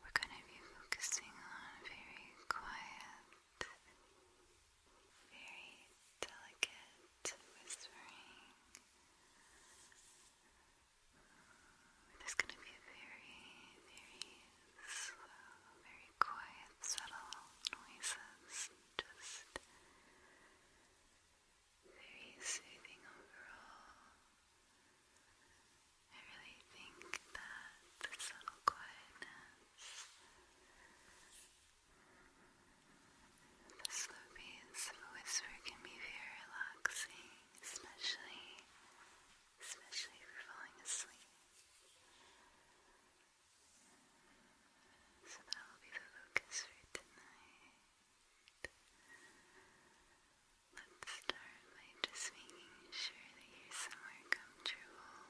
We're going to be focusing on very quiet, very delicate whispering. There's going to be very, very slow, very quiet, subtle noises just very soothing overall. I really think that the subtle quietness, the slow pace of whisper can be very relaxing, especially, especially if you're falling asleep. So that will be the focus for tonight. Let's start by just making sure that you're somewhere comfortable.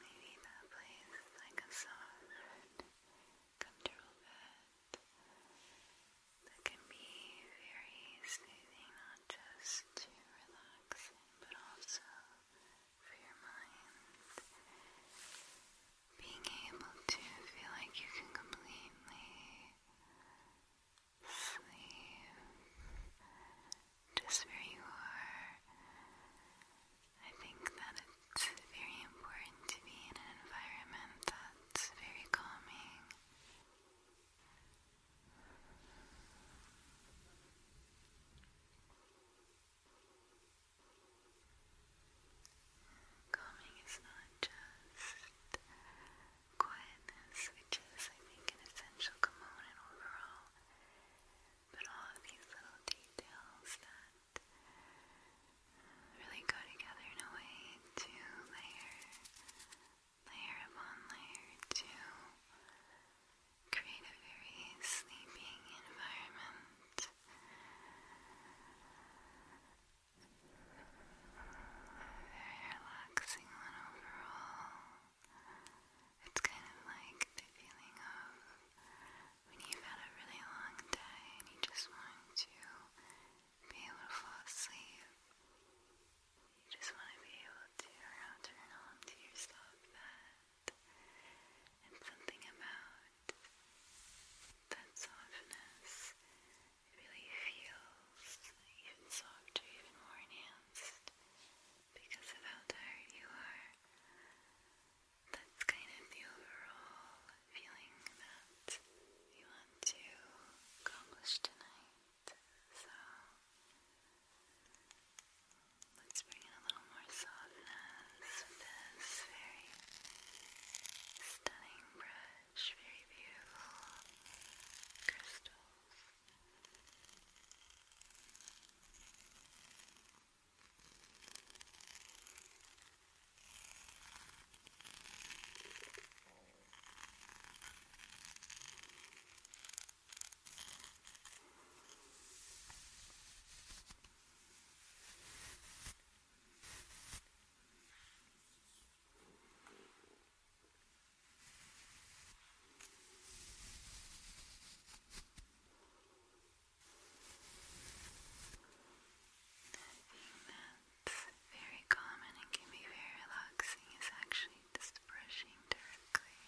Maybe that place is like a soft, comfortable bed that can be very soothing, not just to relax, but also for your mind being able to feel like you can completely sleep just where you are. I think that it's very important to be in an environment that's very calming. Calming is not just quietness, which is, I think, an essential component overall, but all of these little details that really go together in a way to layer, layer upon layer to create a very sleeping environment. Very relaxing one overall. It's kind of like the feeling of when you've had a really long day and you just want to be able to fall asleep. You just want to be able to turn on to yourself that and something about that softness really feels even softer, even more enhanced because of how tired you are. That's kind of the overall feeling that we want to accomplish tonight. So let's bring in a little more softness with this very stunning brush very beautiful crystals. Very that's very common and can be very relaxing is actually just brushing directly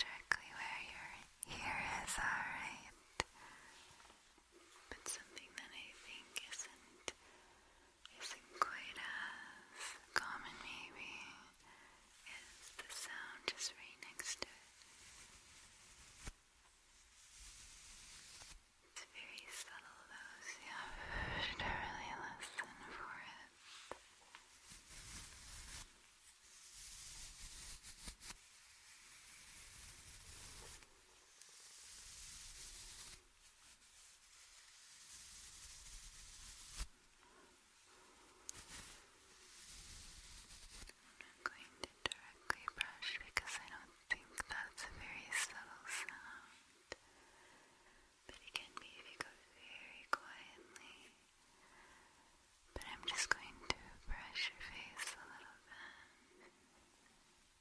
directly where your ears are, right? but something that I think isn't isn't quite as common maybe is the sound just right next to it. It's very subtle though, you have to really listen for it. I'm going to directly brush because I don't think that's a very subtle sound. But it can be if you go very quietly. But I'm just going to brush your face a little bit.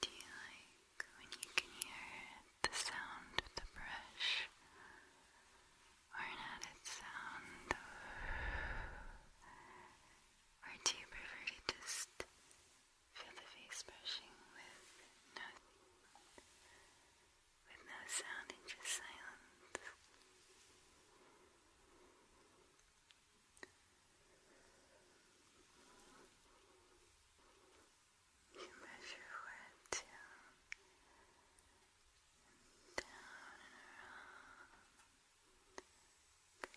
Do you like when you can hear the sound of the brush? Or not its sound or do you prefer to just feel the face brushing with no, with no sound and just silence? You brush your forehead too. Down and around. There are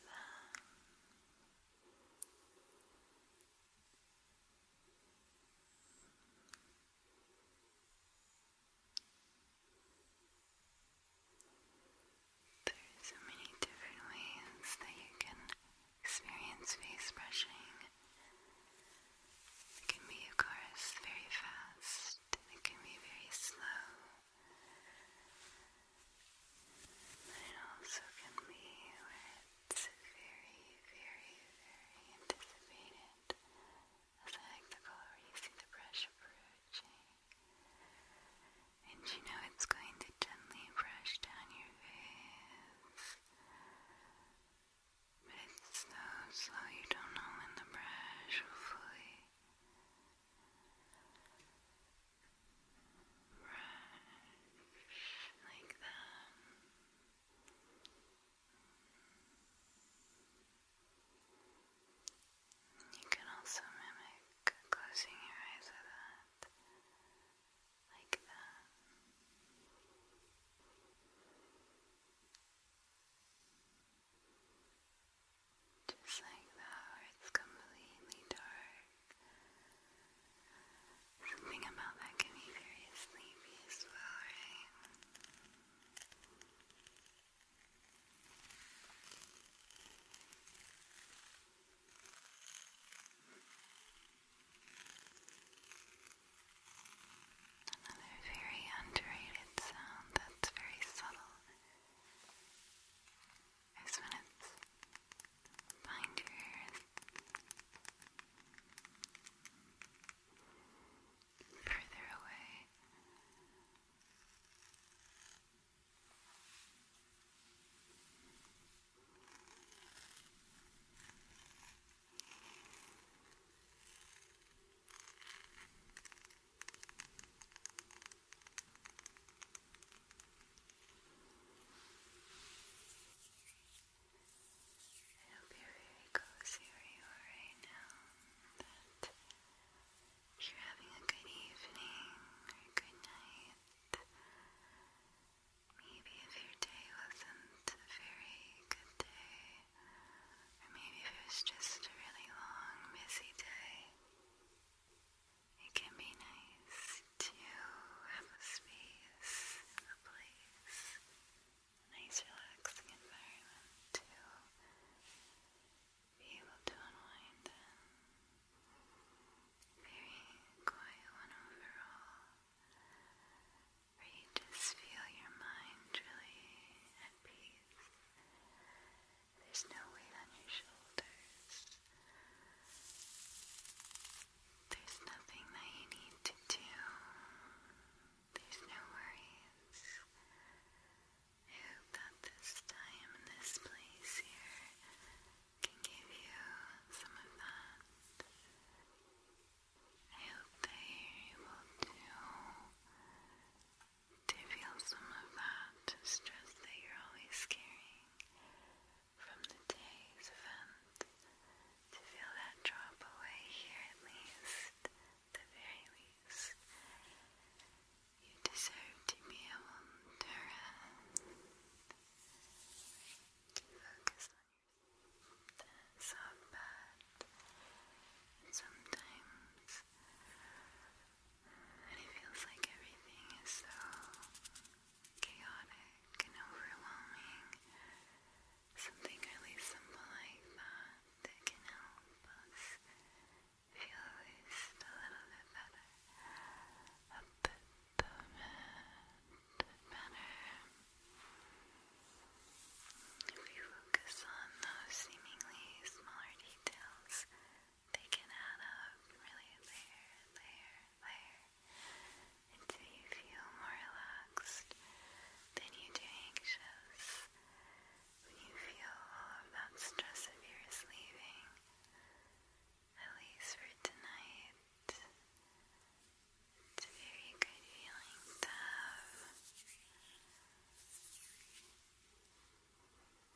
so many different ways that you can experience face brushing. It can be, of course, very fast, it can be very slow it also can be where it's very, very, very anticipated. As I like the color, you see the brush approaching. And you know it's going to gently brush down your face. But it's so slow you don't know when the brush will Brush like that. You can also mimic closing your eyes with that, like that. Just like that, where it's completely dark. Something about that can be very sleepy as Another very underrated sound that's very subtle I just want to find your hair. Further away. I hope you're very cozy where you are right now, that you're having a good evening or a good night. Maybe if your day wasn't a very good day, or maybe if it was just a really long, busy day, it can be nice to have a space, a place, a nice relaxing environment to be able to unwind in. Very quiet one overall, where you just feel your mind really at peace. There's no weight on your shoulders. There's nothing that you need to do. There's no worries. I hope that this time and this place here can give you some of that. I hope that you're able to feel some of that stress that you're always carrying from the day's event, to feel that drop away here at least, the very least. You deserve to be able to rest. Focus on your soft bed. And sometimes and it feels like everything is so chaotic and overwhelming. Something really simple like that that can help us feel at least a little bit better. A bit, a bit better. If we focus on those seemingly smaller details, they can add up really there, there, there until you feel more relaxed than you do anxious. When you feel all of that stress of yours leaving, at least for tonight, it's a very good feeling to have.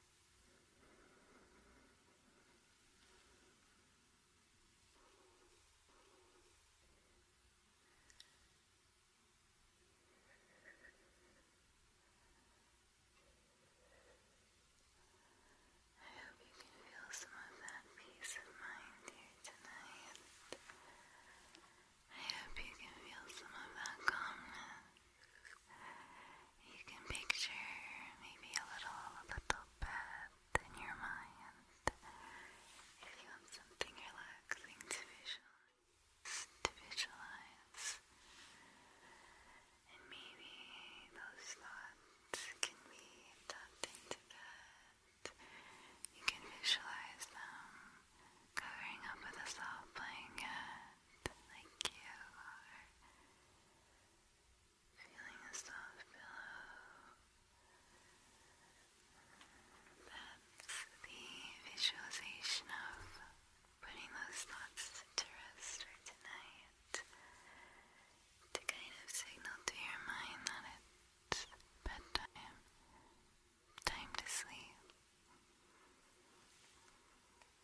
I hope you can feel some of that peace of mind here tonight. I hope you can feel some of that calmness. You can picture maybe a little little bath in your mind if you want something relaxing to visualize. And maybe those thoughts can be tucked into that. You can visualize them covering up with a soft blanket like you are feeling a soft pillow. That's the visualization of putting those thoughts to rest for tonight to kind of signal to your mind that it's bedtime, time to sleep.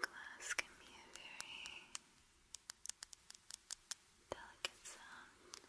Glass can be a very delicate sound.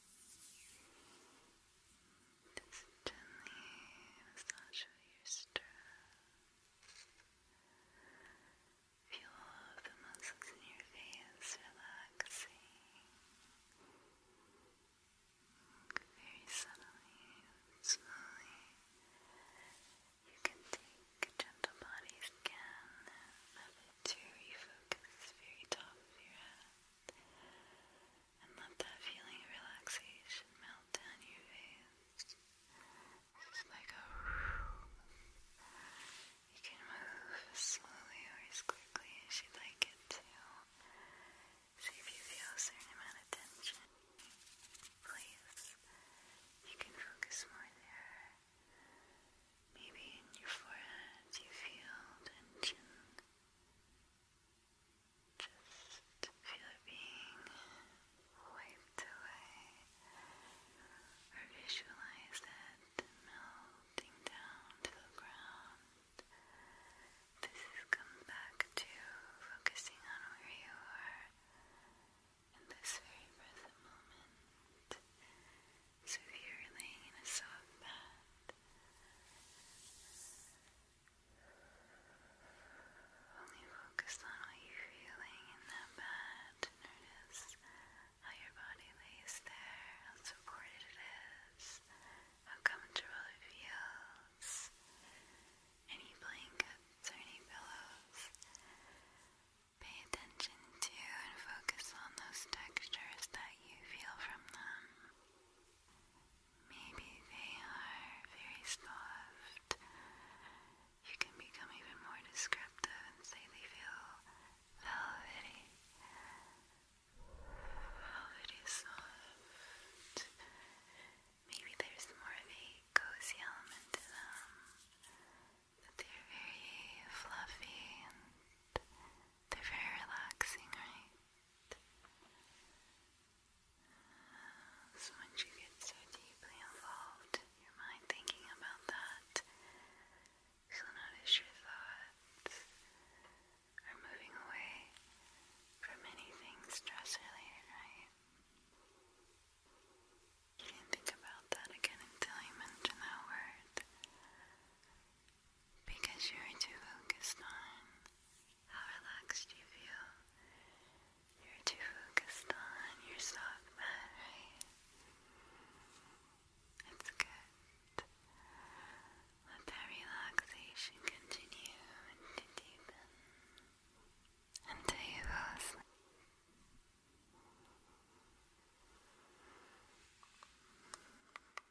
Just gently massage your stress. Feel the muscles in your face relaxing. Very subtly, slowly, you can take gentle body scan of it to refocus very top of your head. And let that feeling of relaxation melt down your face. This like a. You can move slowly or as quickly as you'd like it to. if you feel a amount of tension. Please, you can focus more there. Maybe in your forehead you feel tension. Just feel it being wiped away. Or visualize that melting down to the ground. This has come back to focusing on where you are in this very present moment. So if you're laying in a soft bed, only focus on what you're feeling in that bed. Notice how your body lays there, how supported it is, how comfortable it feels. Any blankets or any pillows. Pay attention to and focus on those textures that you feel from them. Maybe they are very soft. You can become even more descriptive and say they feel velvety. Velvety soft. Maybe there's more of a cozy element to them. That they're very fluffy and they're very relaxing, right? So once you get so deeply involved your mind thinking about that, you'll notice your thoughts are moving away from anything stress related, right? You didn't think about that again until you mentioned that word because you're too focused on how relaxed you feel. You're too focused on your soft mat, right? It's good. Let that relaxation continue and deepen until you go asleep.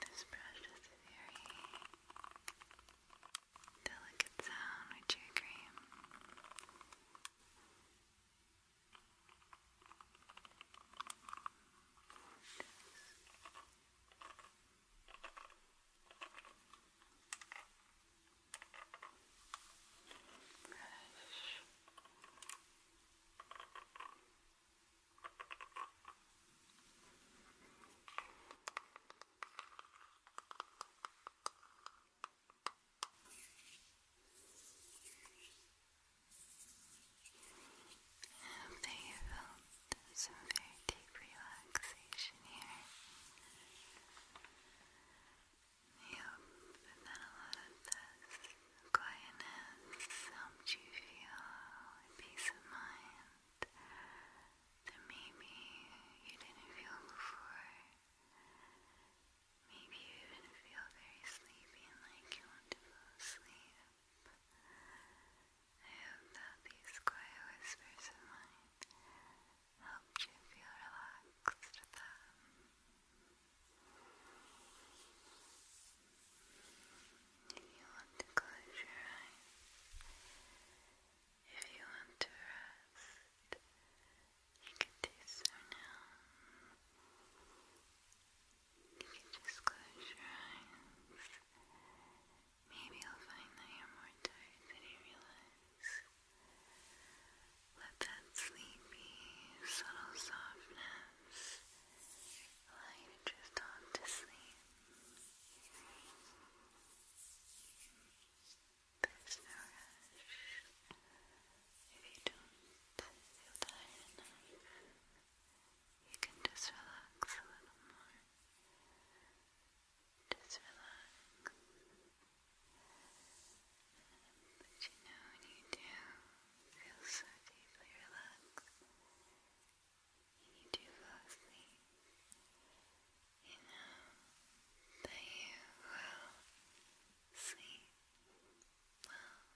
This brush is a very delicate sound, would you agree? Brush. Hope that you some very deep relaxation here. Yep, and then a lot of this quietness helped you feel peace of mind that maybe you didn't feel before. Maybe you didn't feel very sleepy and like you want to fall asleep. I hope that these quiet whispers of mine helped you feel relaxed with them. If you want to close your eyes, if you want to rest, you can do so now. You just close your eyes. Maybe you'll find that you're more tired than you realize. Let that sleepy, subtle softness allow you to drift to sleep. There's no rush if you don't feel tired You can just relax a little more. Just relax. But you know when you do feel so deeply relaxed, you do fall asleep. You know that you will sleep well.